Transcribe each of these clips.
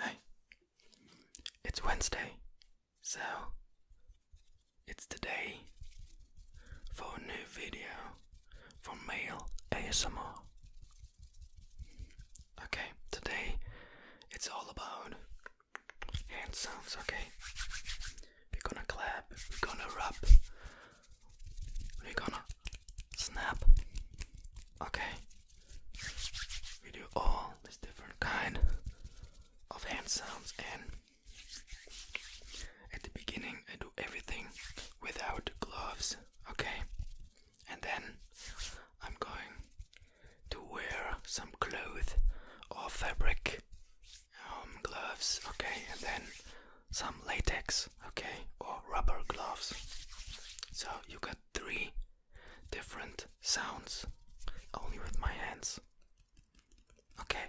Hey, it's Wednesday, so it's the day for a new video for Male ASMR. Okay, today it's all about hand sounds, okay? We're gonna clap, we're gonna rub, we're gonna snap. Okay. We do all these different kind of hand sounds and at the beginning I do everything without gloves, okay? And then I'm going to wear some cloth or fabric um, gloves, okay, and then some latex, okay, or rubber gloves. So you got three different sounds only with my hands. Okay,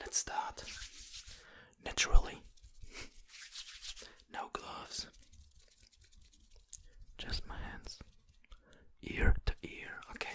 let's start naturally. no gloves, just my hands, ear to ear, okay.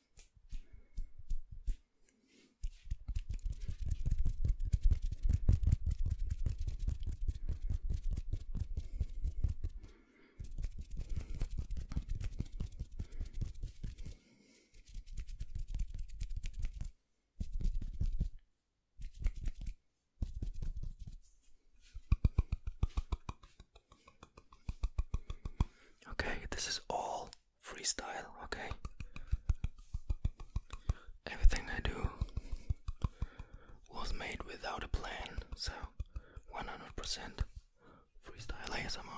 Okay, this is all freestyle, okay? Everything I do was made without a plan, so 100% freestyle ASMR.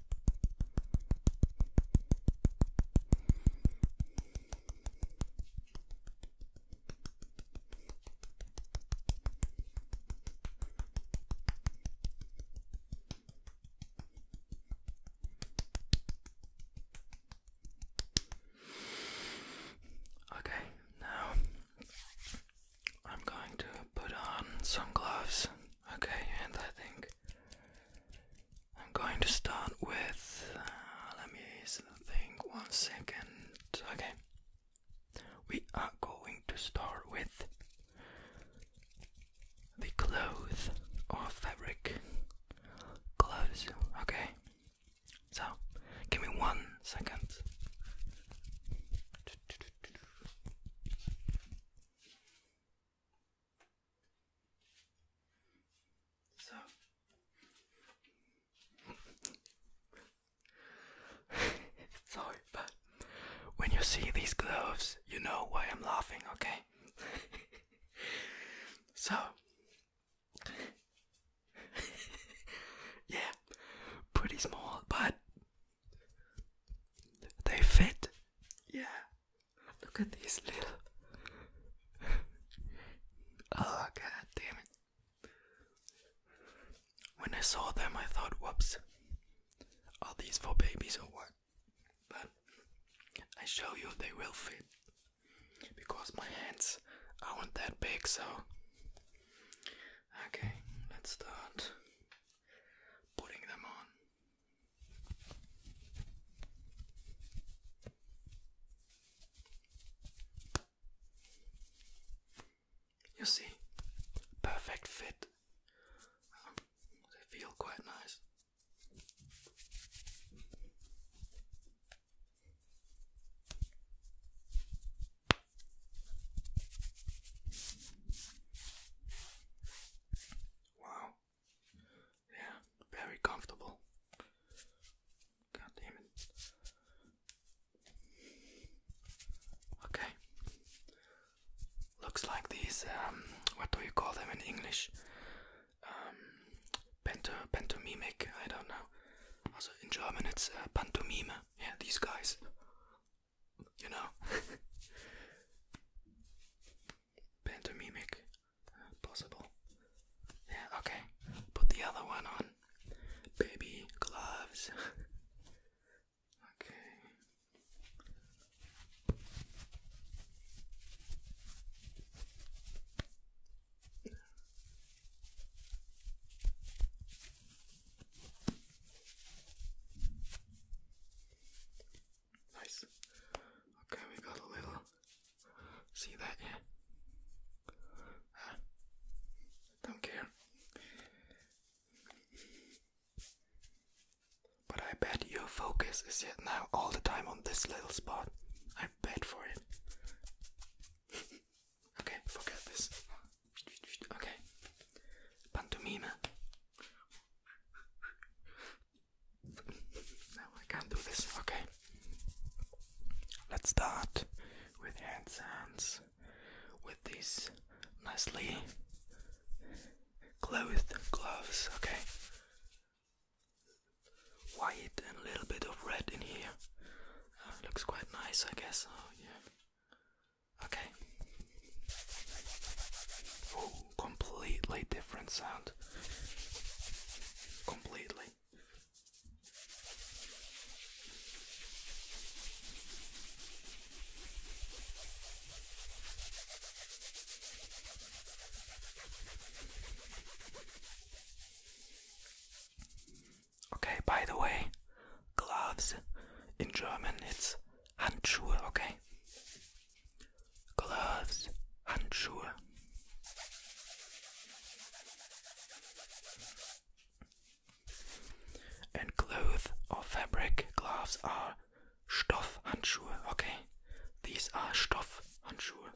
Okay, now I'm going to put on some gloves. Okay, and I think I'm going to start with. Uh, let me think one second. Okay, we are going to start with the cloth or fabric. Clothes, okay. So, give me one second. So. Sorry, but when you see these gloves, you know why I'm laughing, okay? so. yeah, pretty small, but they fit. Yeah, Look at these little. oh, god damn it. When I saw them, I thought, whoops, are these for babies or what? But I show you they will fit because my hands aren't that big, so. Okay, let's start putting them on. You see, perfect fit. they feel quite nice. Wow, yeah, very comfortable. Goddammit. Okay. Looks like these, um, what do you call them in English? Um, panto, pantomimic, I don't know. Also in German it's uh, pantomime. Yeah, these guys. You know. pantomimic possible. Yeah, okay. Put the other one on. Baby gloves. okay. Nice. Okay, we got a little. See that? Yeah. Ah, don't care. But I bet your focus is yet now all the time on this little spot. I bet for it. okay, forget this. Okay. Pantomime. No, I can't do this. Okay. Let's start with hand hands with these nicely clothed gloves. Okay. White and a little bit of red in here. Uh, looks quite nice, I guess. Oh, yeah. Okay completely different sound. Completely. Okay, by the way, gloves in German it's Handschuhe, okay? Gloves, Handschuhe. And cloth or fabric gloves are Stoffhandschuhe, okay? These are Stoffhandschuhe.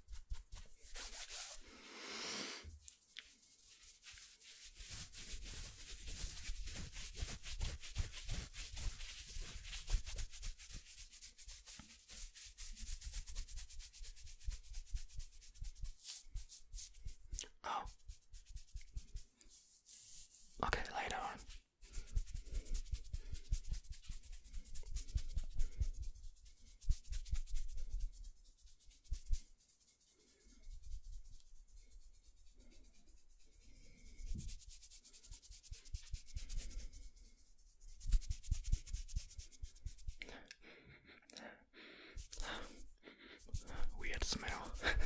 Oh. Okay, later on. Weird smell.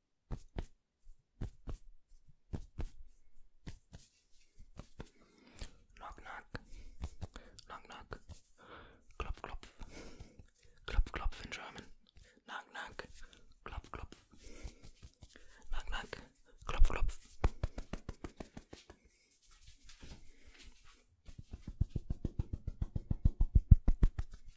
Knock knock. Knock knock. Klopf klopf. Klopf klopf in German. Knock knock. Klopf klopf. Knock knock. Klopf klopf.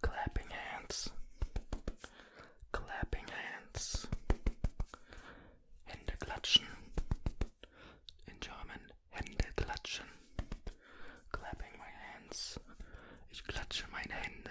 Clapping hands, clapping hands, Hände klatschen, in German Hände klatschen, clapping my hands, ich klatsche meine Hände.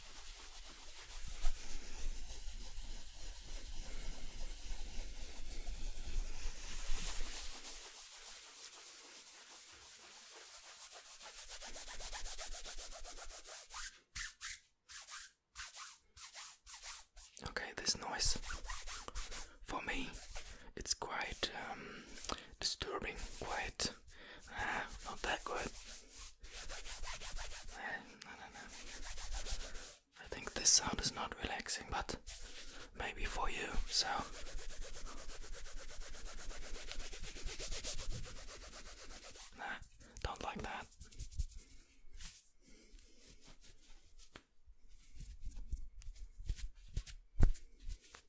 Okay, this noise for me it's quite um, disturbing, quite Ah, not that good. Eh, I think this sound is not relaxing, but maybe for you, so. don't like that.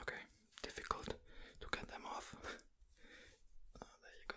Okay, difficult to get them off. Ah, there you go.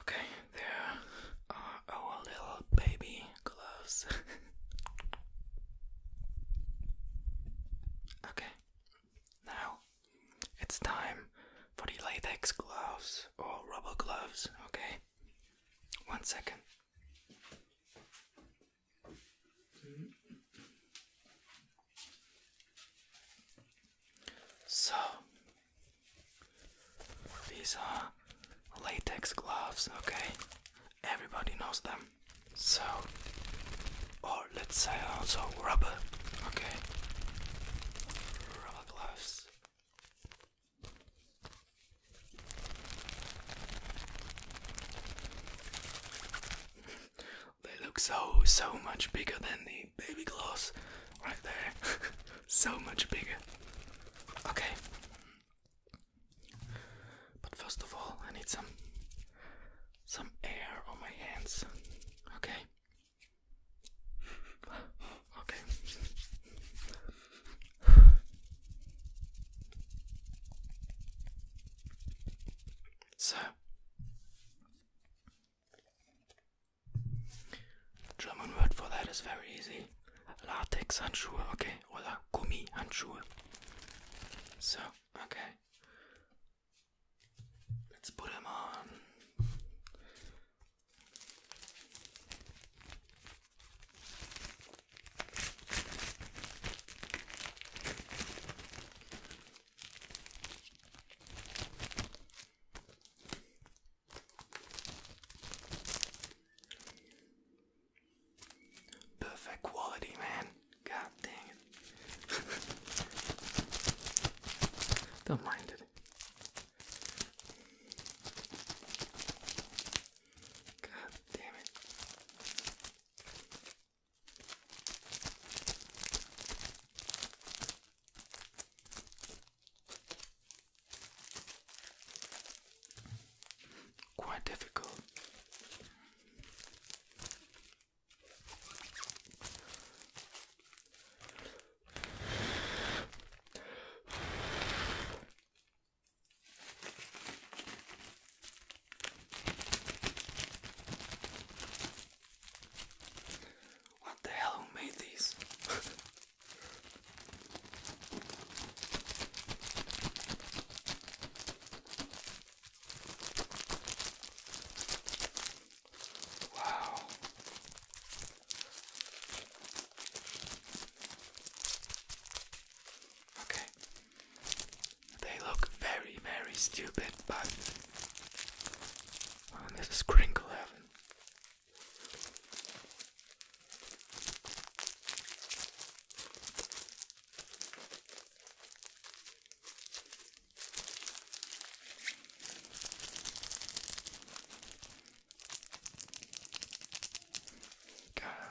Okay, there are our little baby gloves. okay, now it's time for the latex gloves or rubber gloves, okay? One second. So, these are latex gloves, okay? Everybody knows them. So, or let's say also rubber, okay? Rubber gloves. They look so, so much bigger than the baby gloss right there. so much bigger. Okay. But first of all, I need some some air on my hands. Okay. okay. So German word for that is very easy. Latex handschuhe, okay, oder Gummi handschuhe. So, okay. Let's put them on. Perfect quality, man. God dang it. Don't mind it. God damn it. Quite difficult. What the hell? Who made these? wow. Okay. They look very, very stupid, but Oh, this is crinkle heaven. God.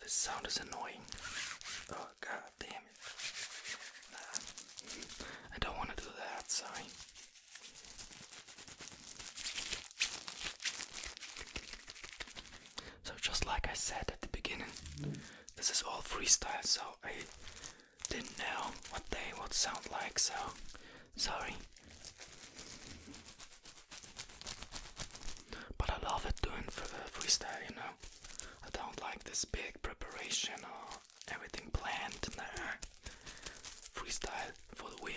This sound is annoying. Oh god it. I don't want to do that, sorry. So just like I said at the beginning, this is all freestyle, so I didn't know what they would sound like, so sorry. But I love it doing for the uh, freestyle, you know. I don't like this big preparation or everything planned. Freestyle for the win.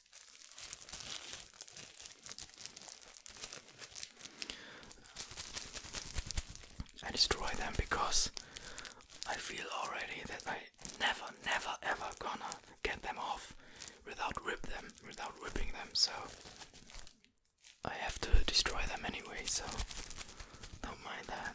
I destroy them because I feel already that I never, never, ever gonna get them off without rip them, without ripping them. So I have to destroy them anyway. So don't mind that.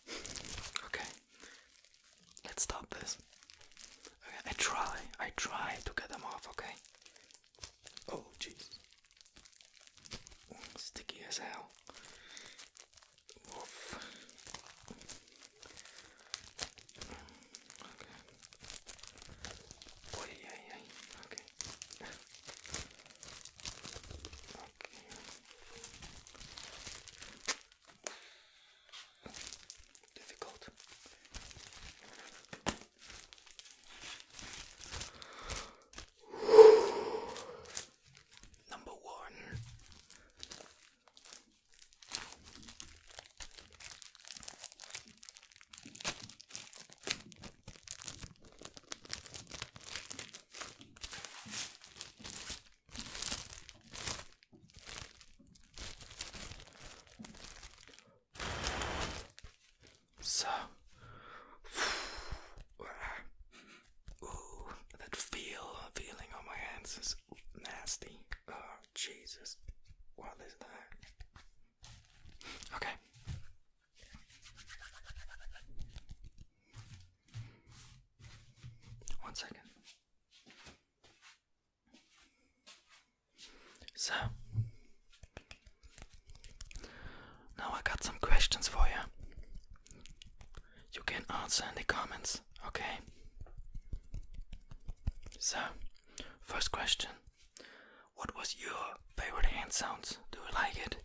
Okay, let's stop this. I try, I try to get them off, okay? Oh, jeez. Sticky as hell. Difficult. Number one. So, ooh, that feel feeling on my hands is nasty. Oh Jesus, what is that? Okay. One second. So, now I got some questions for you. You can answer in the comments, okay? So, first question What was your favorite hand sounds? Do you like it?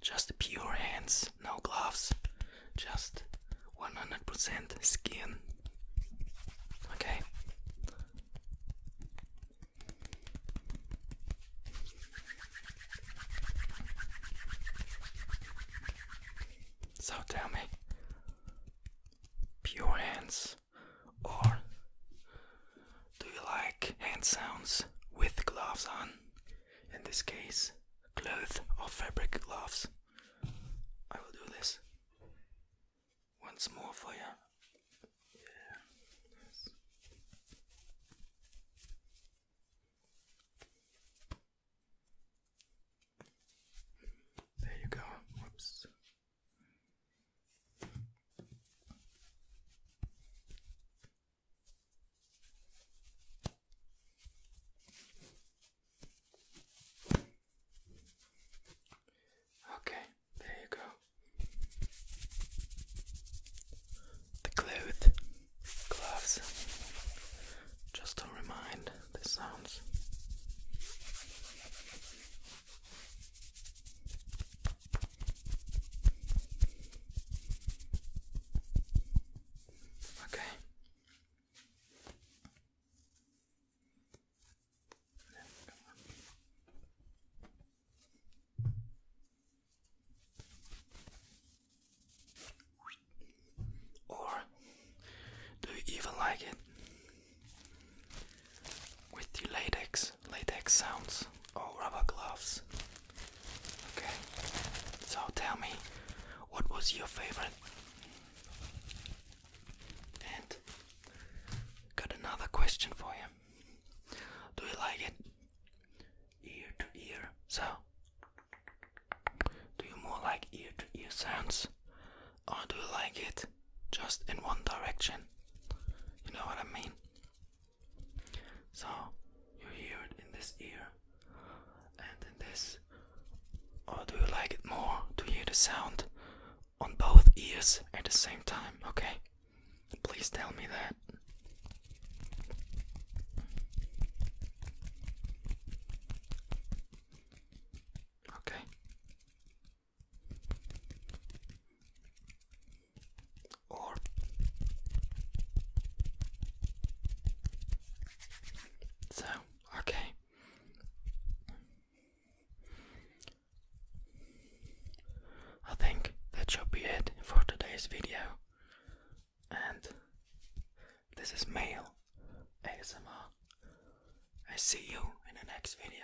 Just pure hands, no gloves, just 100% skin. Okay. So tell me, pure hands or do you like hand sounds with gloves on in this case cloth or fabric gloves. I will do this once more for you. Yeah. Yes. There you go. Whoops. Okay, there you go. The clothes, gloves, just to remind the sounds. Okay. Or do you even like it? With the latex, latex sounds, or rubber gloves. Okay, so tell me, what was your favorite? And got another question for you. Do you like it ear to ear? So, do you more like ear to ear sounds, or do you like it just in one direction? You know what I mean? So you hear it in this ear and in this. Or do you like it more to hear the sound on both ears at the same time? Okay, please tell me that. Okay so okay I think that should be it for today's video and this is male ASMR I see you in the next video